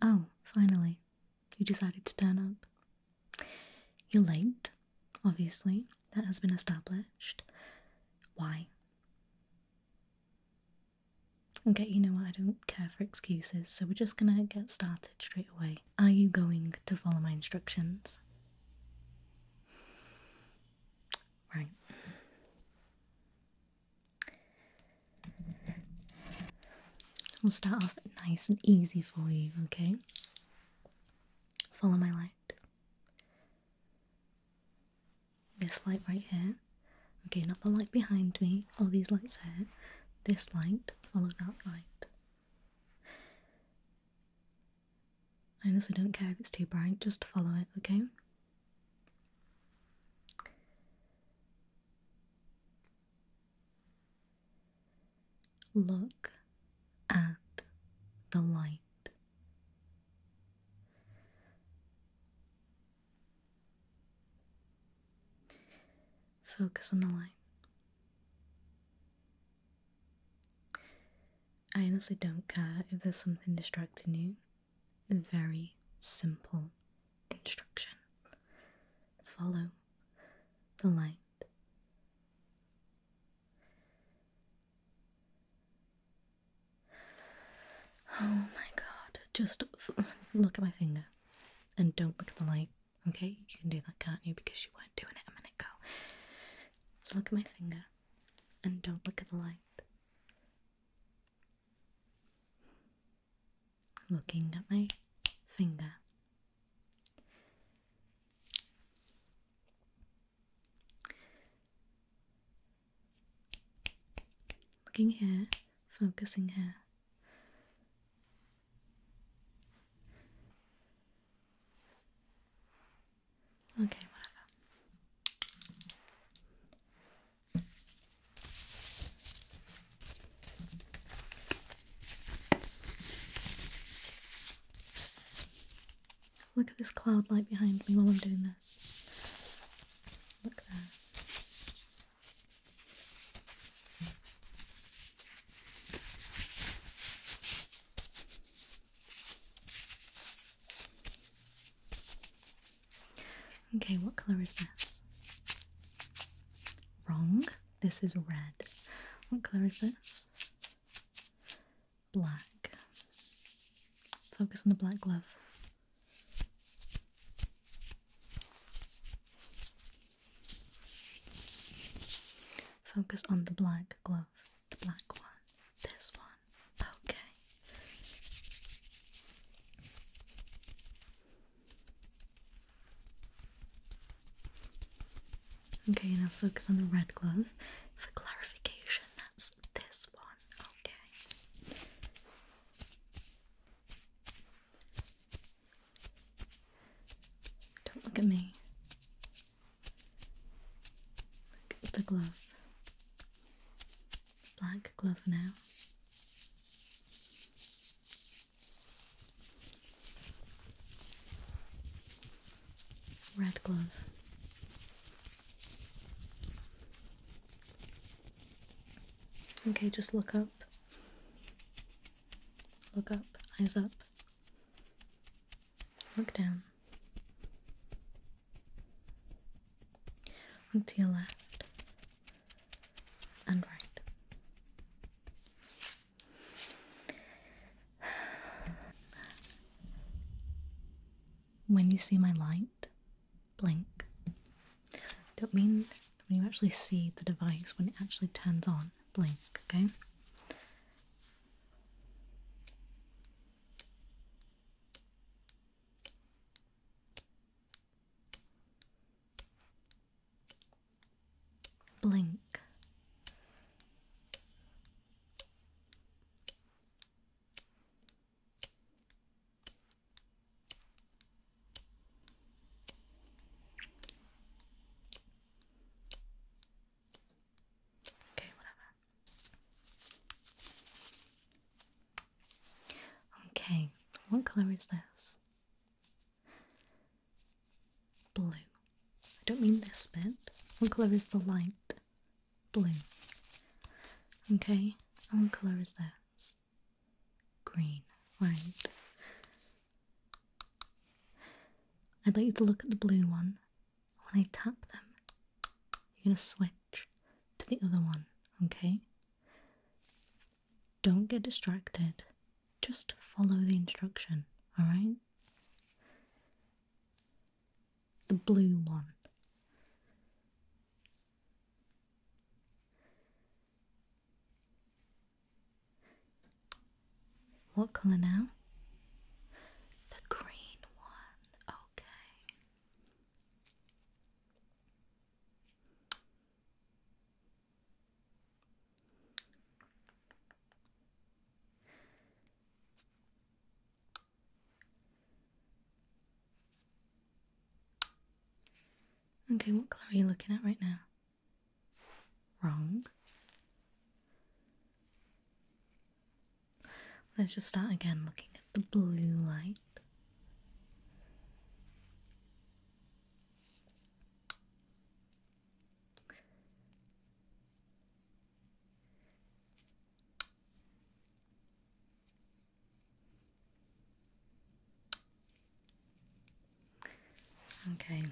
Oh, finally, you decided to turn up. You're late, obviously, that has been established. Why? Okay, you know what, I don't care for excuses, so we're just gonna get started straight away. Are you going to follow my instructions? Right. We'll start off nice and easy for you, okay? Follow my light. This light right here. Okay, not the light behind me, all these lights here. This light, follow that light. I honestly don't care if it's too bright, just follow it, okay? Look at the light. Focus on the light. I honestly don't care if there's something distracting you very simple instruction follow the light. Oh my god, just look at my finger and don't look at the light, okay? You can do that, can't you? Because you weren't doing it a minute ago. So look at my finger and don't look at the light. looking at my finger. Looking here, focusing here. Okay, whatever. Look at this cloud light behind me while I'm doing this. Look there. Okay, what color is this? Wrong. This is red. What color is this? Black. Focus on the black glove. Focus on the black glove. The black one. This one. Okay. Okay, now focus on the red glove. For clarification, that's this one. Okay. Don't look at me. Look at the glove. Black glove now. Red glove. Okay, just look up. Look up, eyes up. Look down. Look to your left and right. When you see my light blink, don't mean when you actually see the device when it actually turns on, blink, okay? Blink. Okay, whatever. Okay, what colour is this? Blue. I don't mean this bit. What colour is the light? Blue. Okay, and what colour is this? Green. Right. I'd like you to look at the blue one. When I tap them, you're going to switch to the other one, okay? Don't get distracted. Just follow the instruction, alright? The blue one. What colour now? The green one, okay. Okay, what color are you looking at right now? Wrong. Let's just start again looking at the blue light. Okay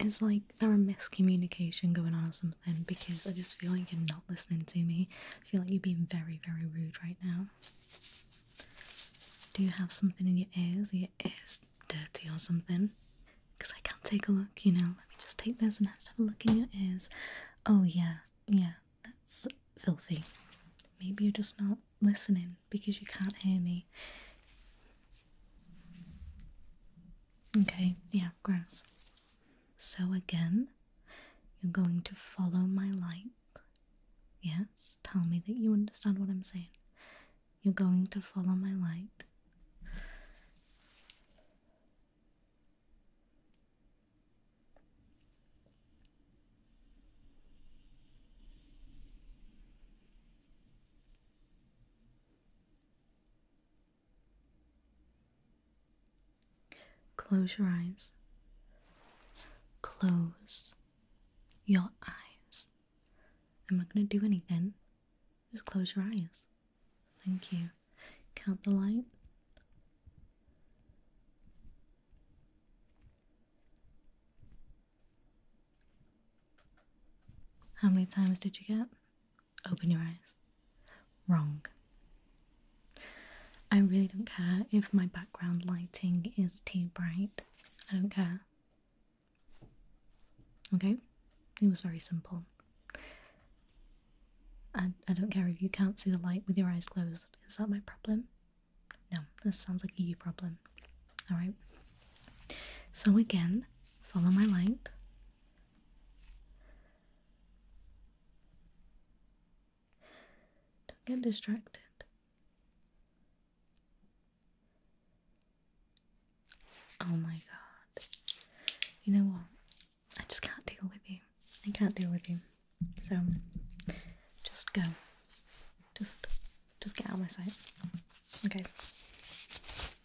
it's like there a miscommunication going on or something because I just feel like you're not listening to me. I feel like you're being very, very rude right now. Do you have something in your ears? your ears dirty or something? Because I can't take a look, you know. Let me just take this and have to have a look in your ears. Oh, yeah, yeah, that's filthy. Maybe you're just not listening because you can't hear me. Okay, yeah, gross. So again, you're going to follow my light. Yes, tell me that you understand what I'm saying. You're going to follow my light. Close your eyes. Close your eyes. I'm not going to do anything. Just close your eyes. Thank you. Count the light. How many times did you get? Open your eyes. Wrong. I really don't care if my background lighting is too bright. I don't care. Okay? It was very simple. I, I don't care if you can't see the light with your eyes closed. Is that my problem? No, this sounds like a you problem. Alright? So again, follow my light. Don't get distracted. Oh my god. You know what? I just can't deal with you. I can't deal with you. So just go. Just just get out of my sight. Okay.